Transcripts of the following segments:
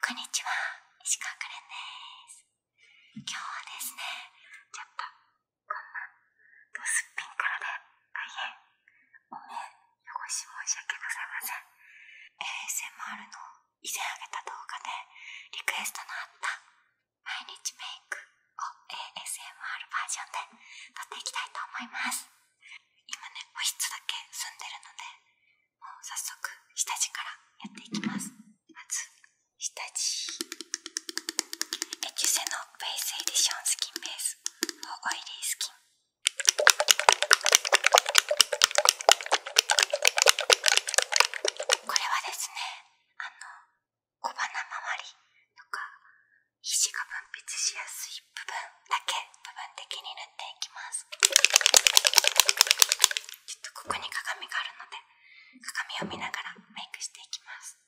こんにちは、石川くれんです。今日はですね、ちょっとこんなドスっぴんからで大変お目汚し申し訳ございません。ASMR の以前あげた動画でリクエストのあった毎日メイクを ASMR バージョンで撮っていきたいと思います。今ね、保湿だけ済んでるので、もう早速下地からやっていきますまず下地エキュセのベースエディションスキンベースオイリースキンこれはですねあの小鼻周りとか皮脂が分泌しやすい部分だけ部分的に塗っていきますっとここに鏡があるので鏡を見ながらメイクしていきます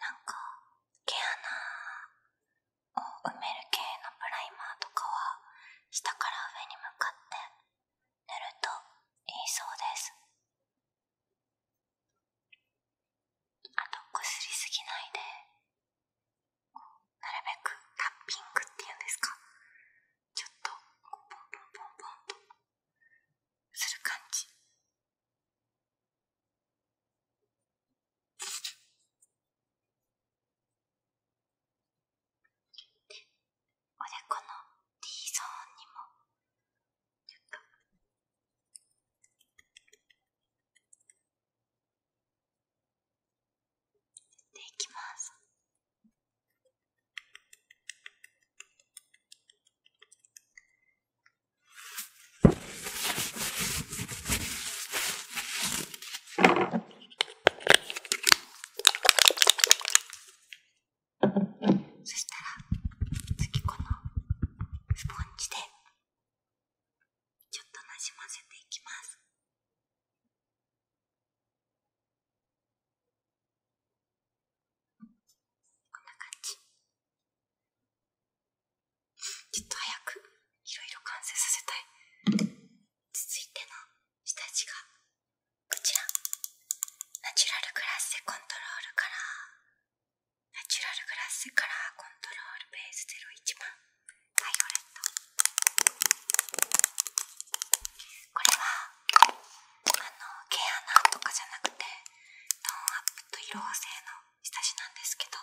なんか毛穴を埋める系のプライマーとかは下から上に向かって塗るといいそうですあとこすりすぎないでなるべくタッピングっていうんですかちょっとポンポンポンポンとする感じで、おでこの D ゾーンにもちょっっていきます。でそしたら、次このスポンジで、ちょっとなじませていきます。こんな感じ。ちょっと早くいろいろ完成させたい続いての下地がこちらナチュラルグラッセコントロールカラーナチュラルグラッセカラーコントロールベース01番バイオレットこれはあの毛穴とかじゃなくてノンアッと色合せの下地なんですけど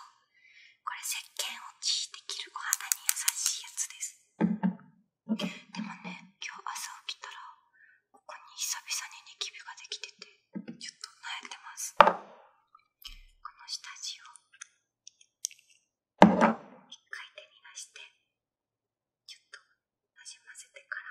これ石鹸を敷いできるお肌に優しいやつですでもね今日朝起きたらここに久々にニキビができててちょっと悩んでますこの下地を1回手に出してちょっとなじませてから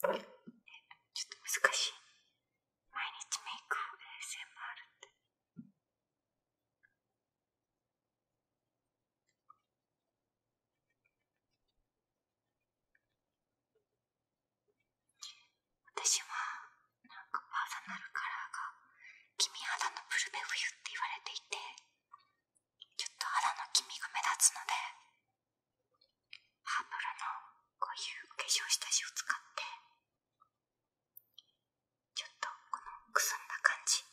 ちょっと難しい。毎日メイク ASMR って。私はなんかパーソナルカラーが君肌のブルベ冬って言われていてちょっと肌の黄身が目立つのでパープルのこういう化粧下地を使ってちょっとこのくすんだ感じ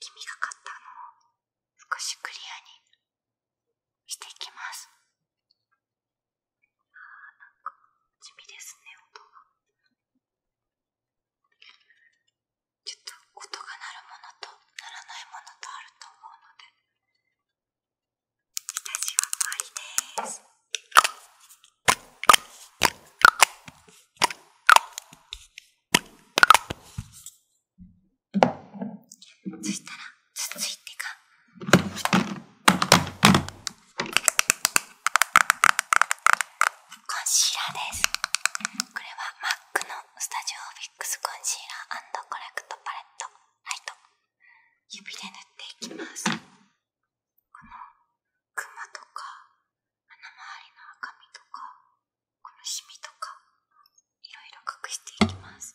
黄身がかったのを少しクリアにしていきます。あ、なんか地味ですね、音が。ちょっと音が鳴るものと鳴らないものとあると思うので、私は終わりです。そしたら、つついてが。ンシーラーですこれはマックのスタジオフィックスコンシーラーコレクトパレットライト指で塗っていきますこのクマとか鼻周りの赤みとかこのシミとかいろいろ隠していきます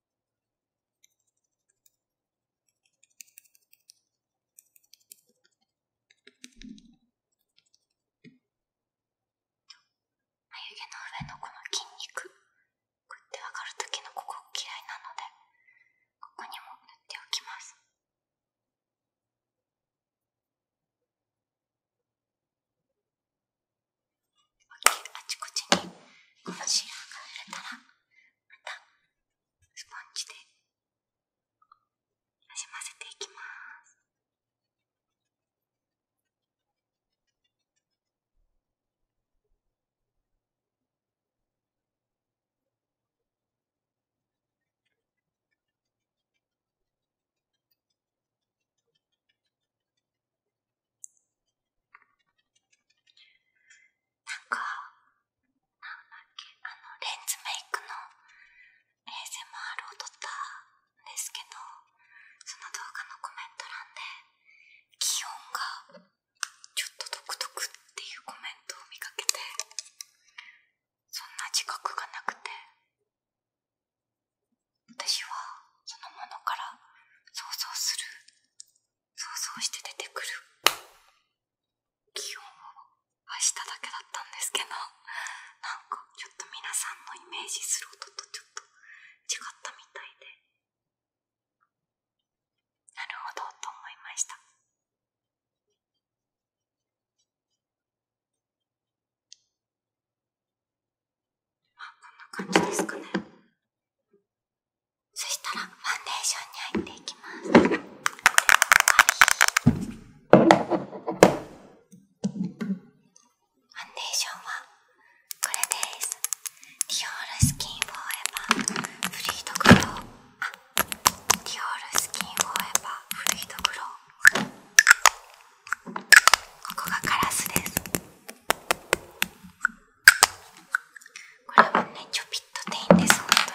眉毛の上のこの筋肉こうやって上がる時のここ嫌いなのでここにも塗っておきますあちこちにこのシーラーがれたらまたスポンジでなじませていきますなんか、あの、レンズメイクの ASMR を撮ったんですけど、その動画のコメント欄で、気温がちょっと独特っていうコメントを見かけて、そんな自覚がなくて、私はそのものから想像する想像して出てくる気温を明日だけだったんですけどなんかちょっと皆さんのイメージする音とちょっと違ったみたいでなるほどと思いましたまあこんな感じですかねそしたらファンデーションに入っていきます。ファンデーションはこれです。ディオールスキンフォーエバーフリードグディオールスキンフォーエバーフリードグここがカラスです。これはねちょぴっとでいいんです本当に。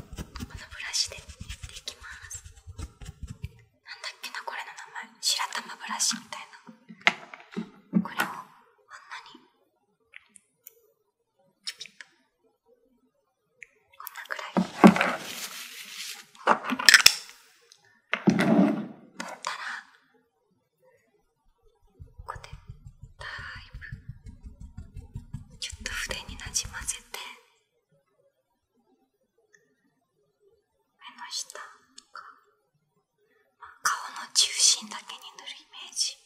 このブラシでやっていきます。なんだっけなこれの名前白玉ブラシみたいな。これをこんなにちょびっとこんなくらい。だったらこうでだいぶちょっと筆になじませて目の下とか、ま顔の中心だけに塗るイメージ。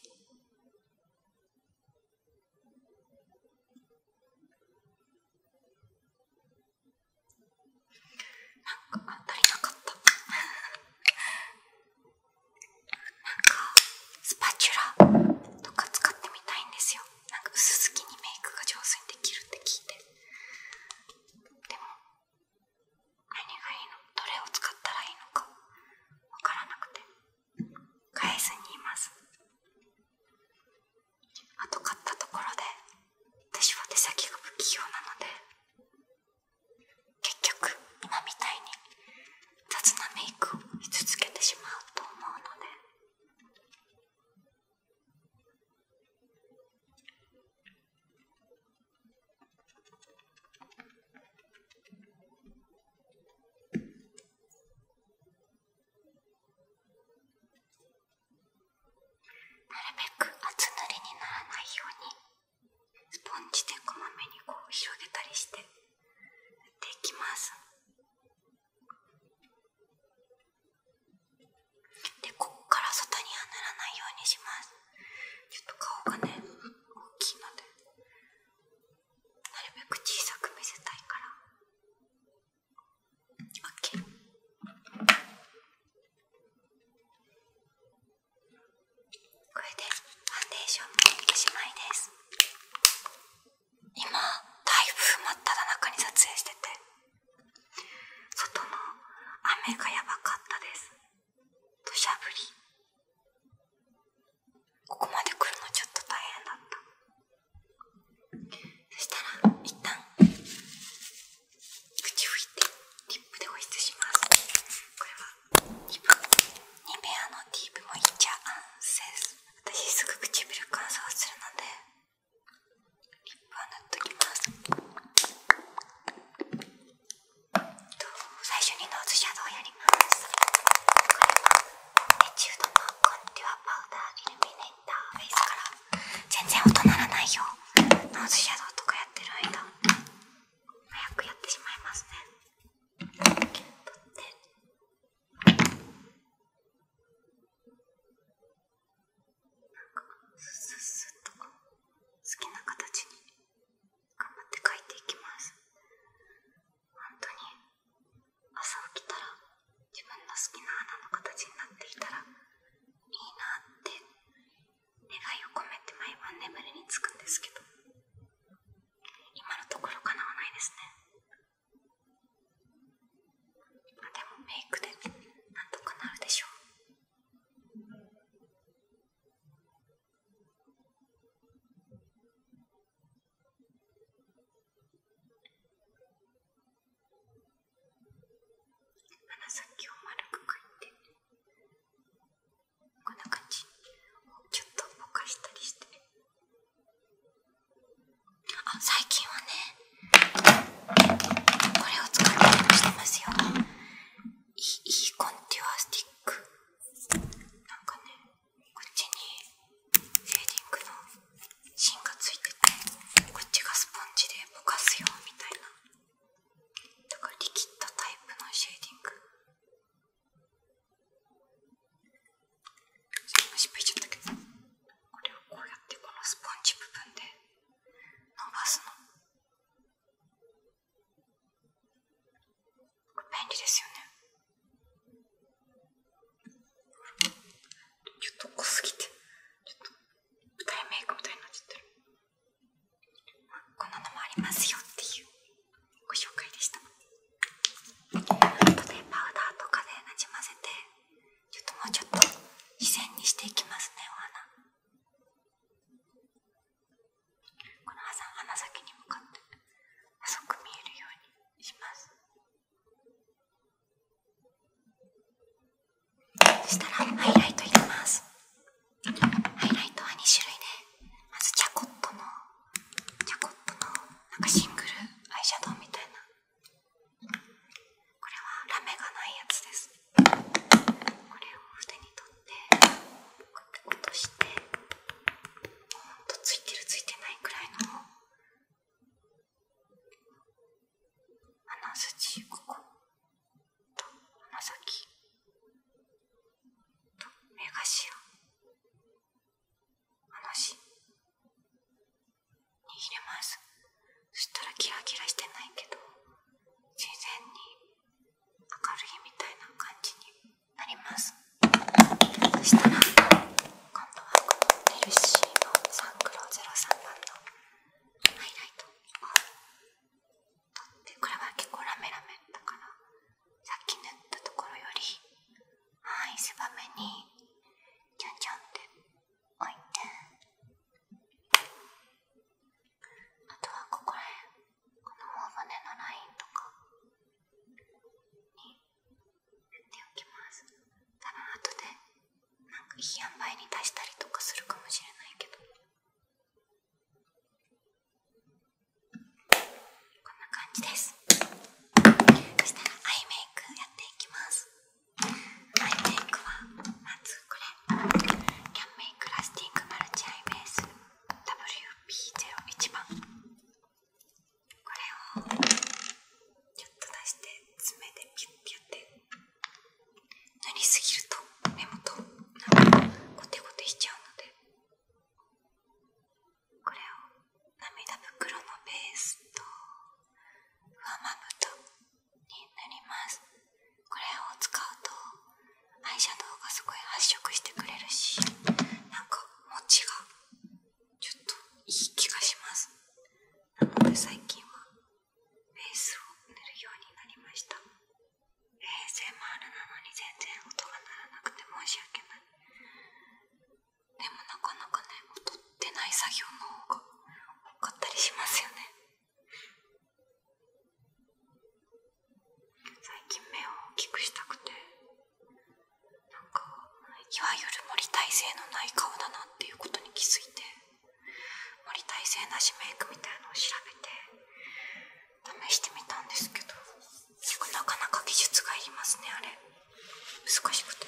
なんか足りなかったなんかスパチュラとか使ってみたいんですよなんか薄付きにメイクが上手にできるって聞いてでも何がいいのどれを使ったらいいのかわからなくて返すにいますあと買ったところで私は手先が不器用なので結局今みたいに雑なメイクをし続けてしまうと思うのでなるべく厚塗りにならないようにスポンジでこまめにこう広げたりして塗っていきますでこっから外には塗らないようにしますちょっと顔がね大きいのでなるべく小さく見せたいから。OK。これでファンデーションもおしまいです。今、台風真っただ中に撮影してて、外の雨がやばかったです。土砂降り。ここまで来るのちょっと大変だった。そしたら、一旦口を拭いてリップで保湿しますこれはリップ。ニベアのディープもいっちゃ、ーアンセ私すぐ唇乾燥するのでリップは塗っときますと最初にノーズシャドウやりますこれはエチュードのコンデュアパウダーイルミネーターフェイスカラー全然音ならないよノーズシャドウとかやってる間早くやってしまいますね取ってなんかスッスッと好きな形に頑張って描いていきます本当に朝起きたら自分の好きな穴の形になっていたらいいなって願いを込めて毎晩眠りにつくんですけど今のところかなわないですねあでもメイクでなんとかなるでしょう鼻先を丸く描いてこんな感じをちょっとぼかしたりしてあ最近はねこれを使ったりもしてますよいいコンティュアスティックなんかねこっちにシェーディングの芯がついててこっちがスポンジでぼかすよみたいなだからリキッドタイプのシェーディングさっきも失しちゃったけどこれをこうやってこのスポンジ部分で伸ばすの便利ですよねちょっと濃すぎてちょっと替えメイクみたなっちあ、こんなのもありますよっていうご紹介でしたあとでパウダーとかでなじませてちょっともうちょっと自然にしていきますねお花この鼻先に向かって細く見えるようにします。そしたらハイライト入れますハイライトは2種類でまずチャコットのチャコットのなんかシングルアイシャドウみたいなこれはラメがないやつですこれを筆に取ってこうやって落としてほんとついてるついてないくらいの鼻筋ここと鼻先と目頭話握れますそしたらキラキラしてないけど自然に明るいみたいな感じになりますそしたら今度は LC のサンクロ03番のハイライトをってこれは結構ラメラメだからさっき塗ったところよりはい狭めにちょんちょんって置いてあとはここら辺この頬骨のラインとかに塗っておきます多分後でなんかいい塩梅に出したりとかするかもしれないけどこんな感じですそしたらアイメイクやっていきますアイメイクはまずこれキャンメイクラスティックマルチアイベース WP01 番これをちょっと出して爪でピュッピュッて。塗りすぎると目元なんかゴテゴテしちゃうのでこれを涙袋のベースと上まぶたに塗りますこれを使うとアイシャドウがすごい発色してくれるしなんか持ちがちょっといい気がしますなので最近はベースを塗るようになりました。ASMR なのに全然音が鳴らなくて申し訳ない。でもなかなかね、音ってない作業の方が多かったりしますよね。最近目を大きくしたくて、なんか、いわゆる森体制のない顔だなっていうことに気づいて。森大生なしメイクみたいなのを調べて試してみたんですけど結構なかなか技術が要りますねあれ難しくて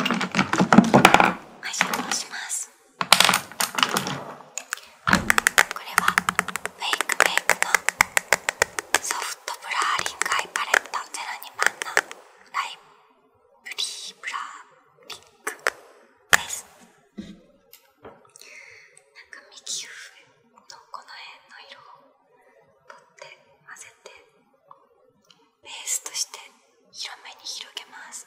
アイシャドウしますこれはメイクメイクのソフトブラーリングアイパレット02番のライプリープラリックですなんか右上のこの辺の色をとって混ぜてベースとして広めに広げます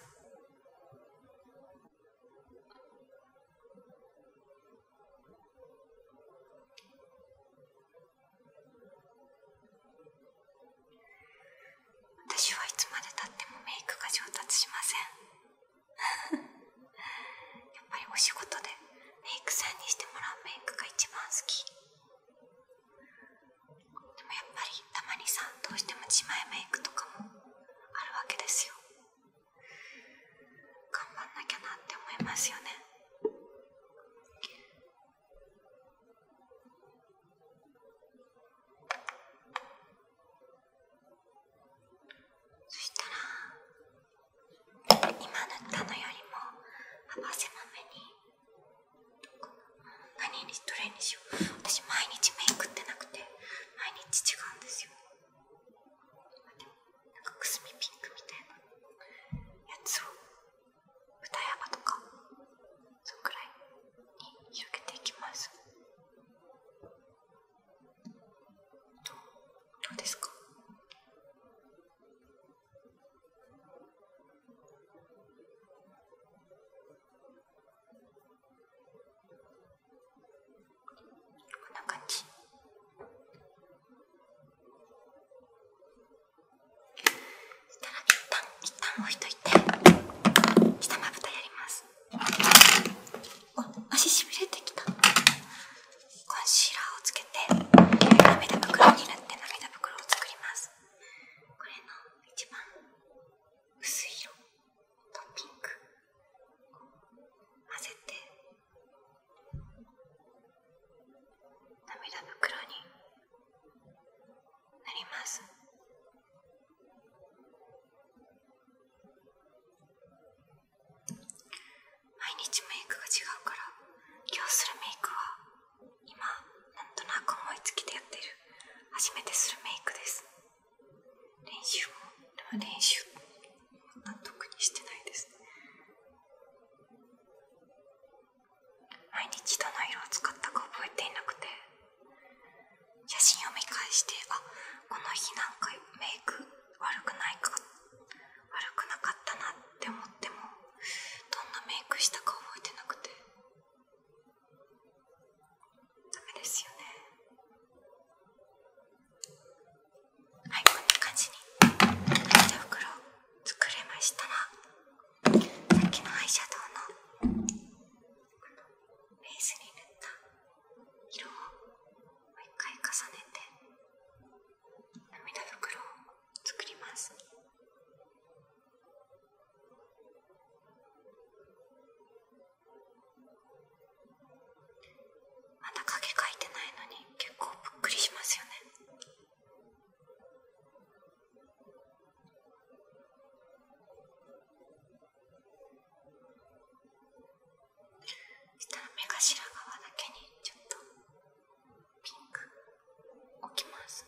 私はいつまでたってもメイクが上達しません やっぱりお仕事でメイクさんにしてもらうメイクが一番好きでもやっぱりたまにさんどうしても自前メイクとかもあるわけですよ頑張んなきゃなって思いますよねそしたら今塗ったのよりも幅狭めに何にどれにしよう私毎日メイクってなくて毎日違うんですよなんかくすみピンクみたいなやつを二山とかそのくらいに広げていきますどどうですかこんな感じ。したら一旦一旦置いといて下まぶたやりますお足しびれてきたコンシーラーをつけて涙袋に塗って涙袋を作りますこれの一番薄い色とピンク混ぜて涙袋になります。毎日メイクが違うから今日するメイクは今なんとなく思いつきでやってる初めてするメイクです練習もでも練習も特にしてないです毎日どの色を使ったか覚えていなくて写真を見返してあこの日なんかメイク悪くないか悪くなかったなって思ってもどんなメイクしたか覚えてなくてダメですよねはいこんな感じに手袋作れましたらさっきのアイシャドウのベースに塗った色をもう一回重ねて涙袋を作ります。まだ影描いてないのに結構ぷっくりしますよね。したら目頭側だけにちょっとピンク置きます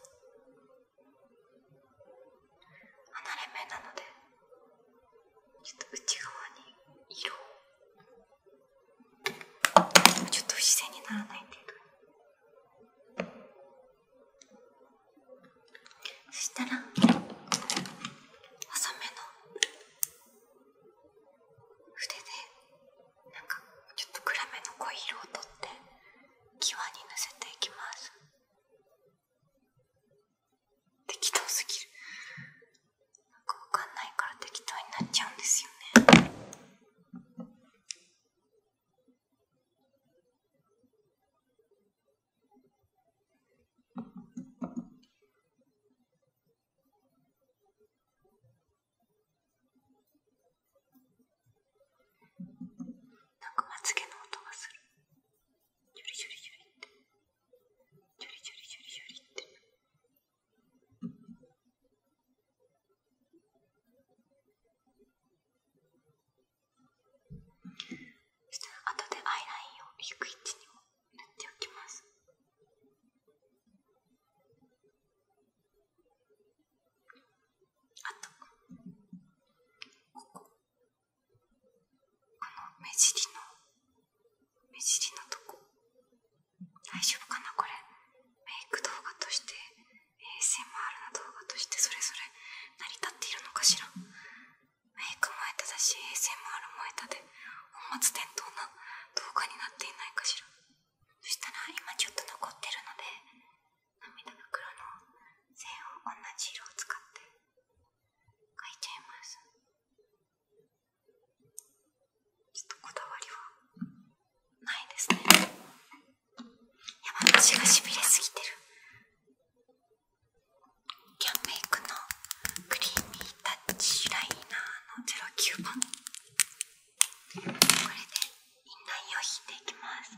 離れ目なのでちょっと内側にちょっと不自然にならない程度に。そしたら浅めの筆でなんかちょっと暗めの濃い色をとって際にのせていきます適当すぎるなんかわかんないから適当になっちゃうんですよねなんかまつげの音がする。ジュリジュリジュリって。ジュリジュリジュリジュリって。あとでアイラインを低い位置にも塗っておきます。あとこここの目尻の目尻のとこ大丈夫かなこれメイク動画として ASMR の動画としてそれぞれ成り立っているのかしらメイクも下手だし ASMR も下手で本末転倒な動画になっていないかしらそしたら今ちょっと残ってるので涙袋の線を同じ色を使って描いちゃいますちょっとこだわりはないですやばがしびれすぎてるキャンメイクのクリーミータッチライナーの09番これでインナーを引いていきます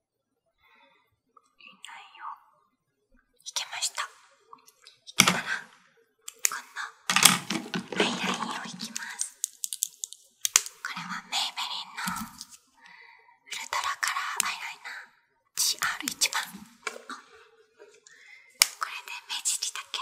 ないよいけましたいけたらこんなアイラインをいきますこれはメイベリンのウルトラカラーアイライナー GR1 番これで目尻だけ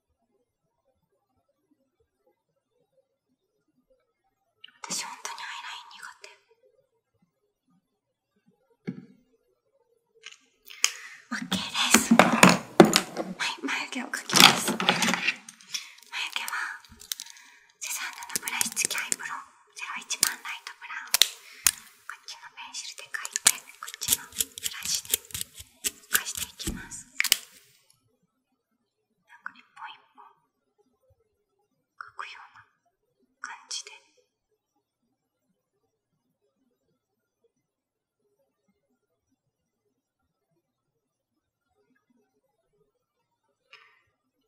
私本当にアイライン苦手 OK です眉毛を描きます眉毛はセザンヌのブラシ付きアイブロ01番ライトブラウンこっちのペンシルで描いてこっちのブラシで動かしていきます。なんか一本一本書くような感じで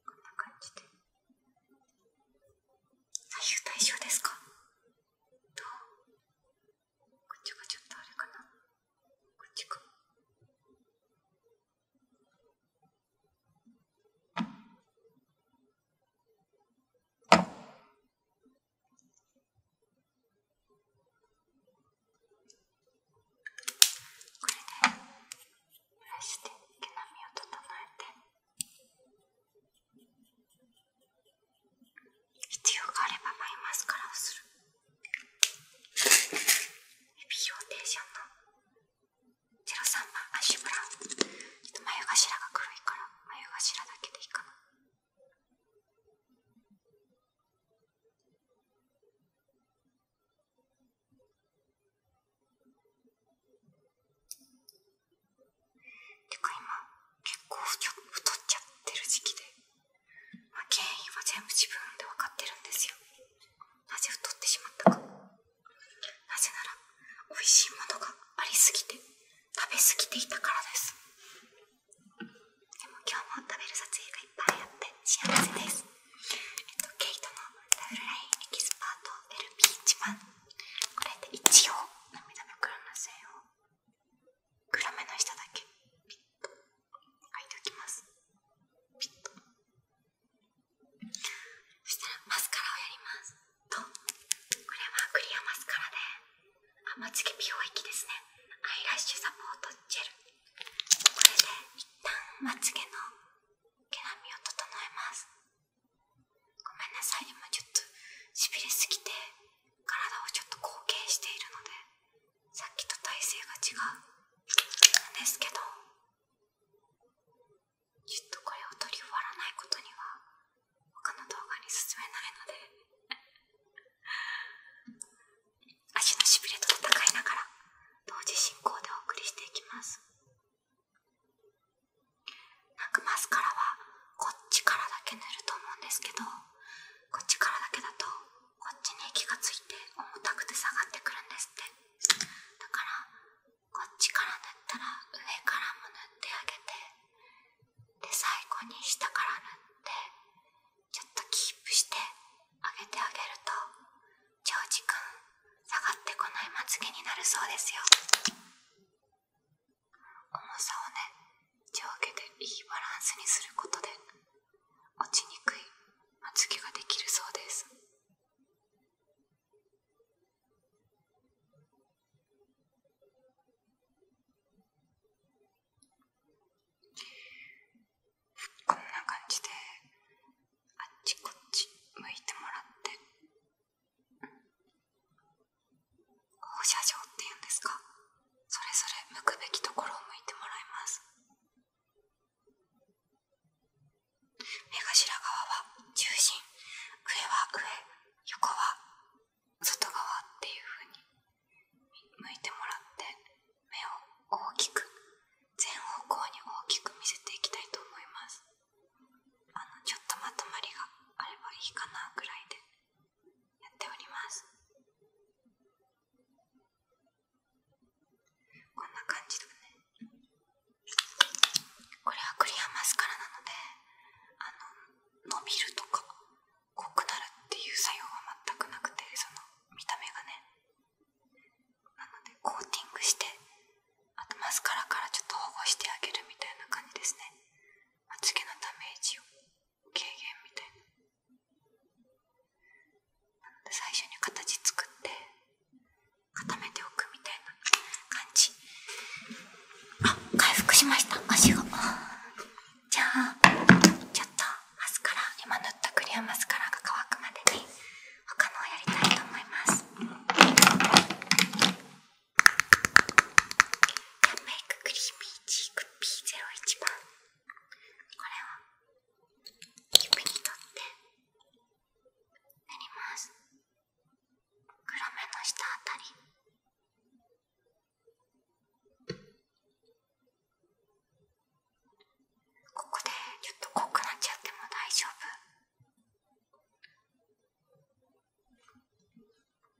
こんな感じで左右対称ですかとこっちがちょとあれかなこっちかこれでブラシで毛並みを整えて必要があればバマスカラをする。ビーフォーテーションの03番アッブラ眉頭が黒いから眉頭だけでいいかなてか今結構太っちゃってる時期でま原因は全部自分で分かってるんですよなぜ太ってしまったかなぜなら美味しいものがありすぎて食べ過ぎていたからですでも今日も食べる撮影がいっぱいあって幸せですえっとケイトのダブルラインエキスパート LP1 番これで一応涙袋の線を暗めの下だけピッと開いておきますピッとそしたらマスカラをやりますとこれはクリアマスカラであまつげ美容液ですねアイラッシュサポートジェルこれで一旦まつげの毛並みを整えますごめんなさい今ちょっとしびれすぎて体をちょっと後傾しているのでさっきと体勢が違うんですけどちっとこれを取り終わらないことには他の動画に進めないので 足のしびれと戦いながら同時進行でお送りしていきますなんかマスカラはこっちからだけ塗ると思うんですけどこっちからだけだとこっちに気がついて重たくて下がってくるんですってだからこっちから塗ったら上からも塗ってあげてで最後に下から塗ってちょっとキープしてあげてあげると長時間下がってこないまつげになるそうですよ重さをね上下でいいバランスにすることで落ちにくいまつげができるそうですこんな感じであっちこっち向いてもらって放射状っていうんですかそれぞれ向くべきところを向いてもらいます目頭側は中心上は上横は外側っていうふうに向いてもらって目を大きく全方向に大きく見せていきたいと思いますあのちょっとまとまりがあればいいかなぐらいでやっておりますこんな感じだねこれはクリアマスカラなのであの伸びるとか濃くなるっていう作用は全くなくてその見た目がねなのでコーティングしてあとマスカラからちょっと保護してあげるみたいな感じですねまつげのダメージを。軽減みたいななので最初に形作って固めておくみたいな感じあっ、回復しました足がじゃあちょっとマスカラ今塗ったクリアマスカラが乾くまでに他のをやりたいと思いますメイククリーミーチークー0 1番をキープにとって塗ります黒目の下あたりここでちょっと濃くなっちゃっても大丈夫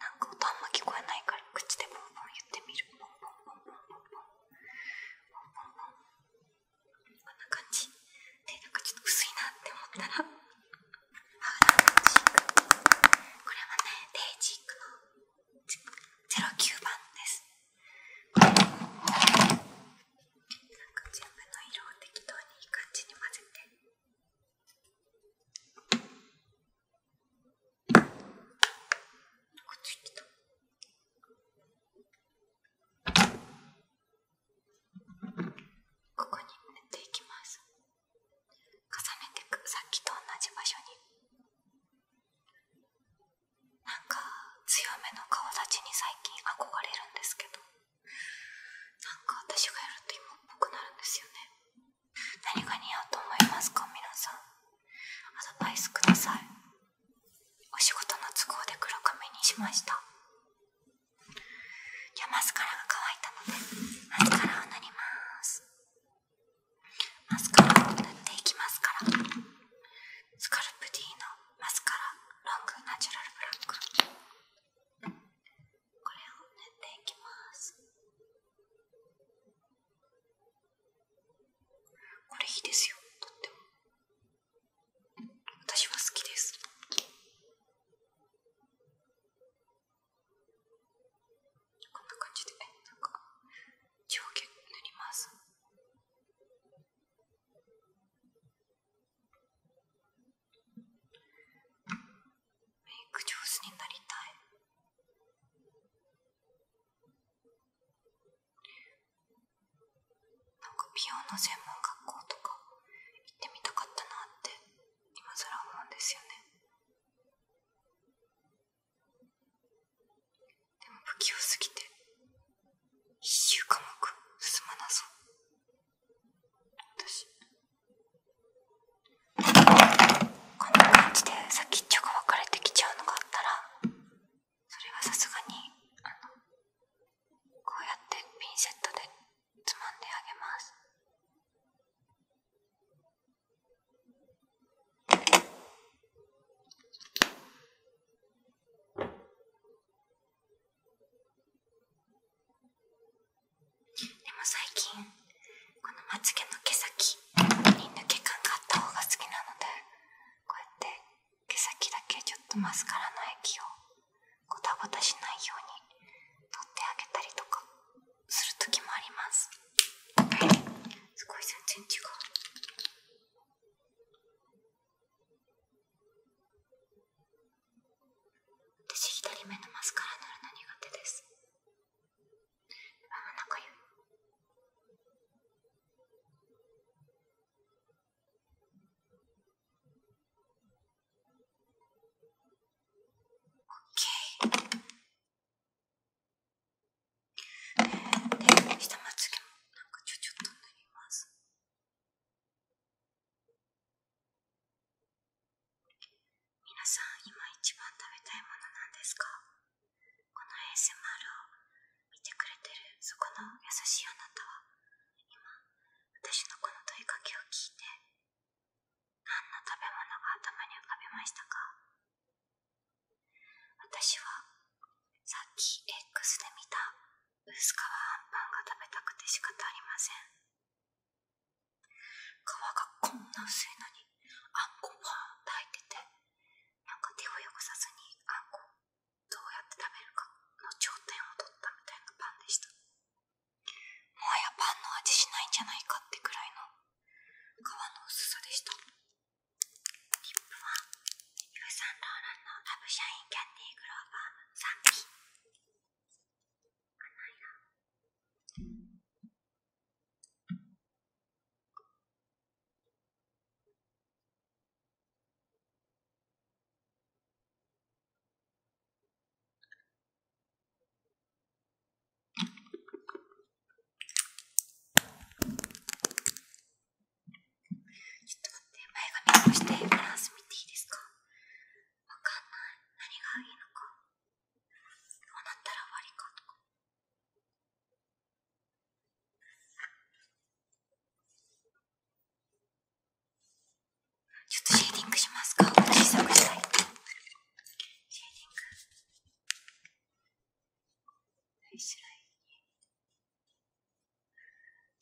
なんか音あんま聞こえないから口でボンボン言ってみるこんな感じでなかちょっと薄いなって思ったらこれはねデイジークの09番ですなんか全部の色を適当にいい感じに混ぜて。ここに塗っていきます重ねてくさっきと同じ場所になんか強めの顔立ちに最近憧れるんですけどなんか私がやると今っぽくなるんですよね何が似合うと思いますか皆さんアドバイスくださいお仕事の都合で黒髪にしましたじゃあマスカラが乾いたのでマスカラを塗りますマスカラを塗っていきますからスカルプ D のマスカラロングナチュラルブラックこれを塗っていきます。これいいですよとっても私は好きですこんな感じでなんか上下塗りますメイク上手になりたいなんか美容の専門学校とか行ってみたかったなって今さら思うんですよねでも不器用すぎて必修科目進まなそう私こんな感じでさっきちょが分かれてきちゃうのがあったらそれはさすがにあのこうやってピンセットでつまんであげます。こでも最近このまつ毛の毛先に抜け感があった方が好きなのでこうやって毛先だけちょっとマスカラの液をゴタゴタしないように取ってあげたりとかする時もあります、すごい全然違う私左目のマスカラ塗るの苦手です。あ、なんかゆい。オッケー。下まつもなんかちょちょっと塗ります。皆さん今一番食べたいものなんですかこの ASMR を見てくれてるそこの優しいあなたは今私のこの問いかけを聞いて何の食べ物が頭に浮かびましたか私はさっき X で見た薄皮あんぱんが食べたくて仕方ありません皮がこんな薄いのにあんこパーンと入っててなんか手を汚さずにあんこどうやって食べるかの頂点を取ったみたいなパンでしたもはやパンの味しないんじゃないかってくらいの皮の薄さでしたリップはイヴ・サンローランのラブシャインキャンディーグローバー3期かないちょっっと待て、前髪をしてバランス見ていいですかわかんない何がいいのかこうなったら終わりかとかちょっとシェーディングしますかシェーディングフェイスランに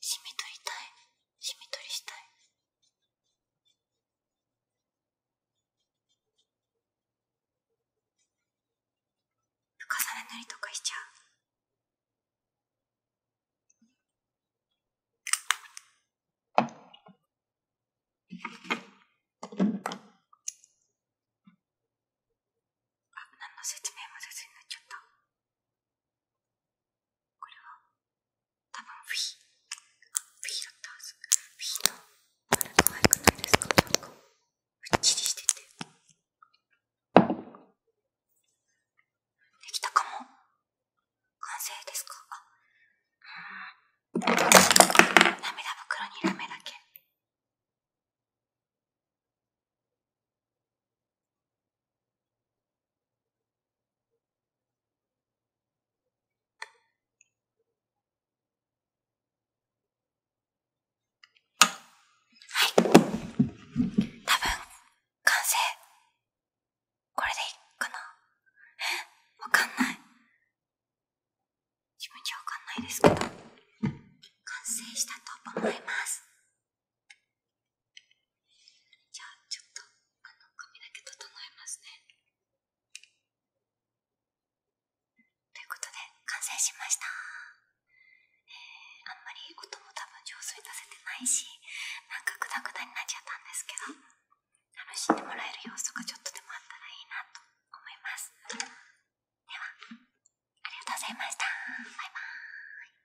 しみ取りたいしみ取りしたい抜かされたりとかしちゃう。あ、何の説明もせずになっちゃった。これは、多分フィー、フィーだったはず。フィーのあれ可愛くないですかなんかうっちりしててできたかも完成ですかあうん涙袋にラメだけはい。多分完成これでいいかなえわかんない自分じゃわかんないですけど完成したと思いますじゃあちょっとあの髪だけ整えますねということで完成しました、えあんまり音も多分上水出せてないしなんかグダグダになっちゃったんですけど楽しんでもらえる要素がちょっとでもあったらいいなと思いますではありがとうございましたバイバーイ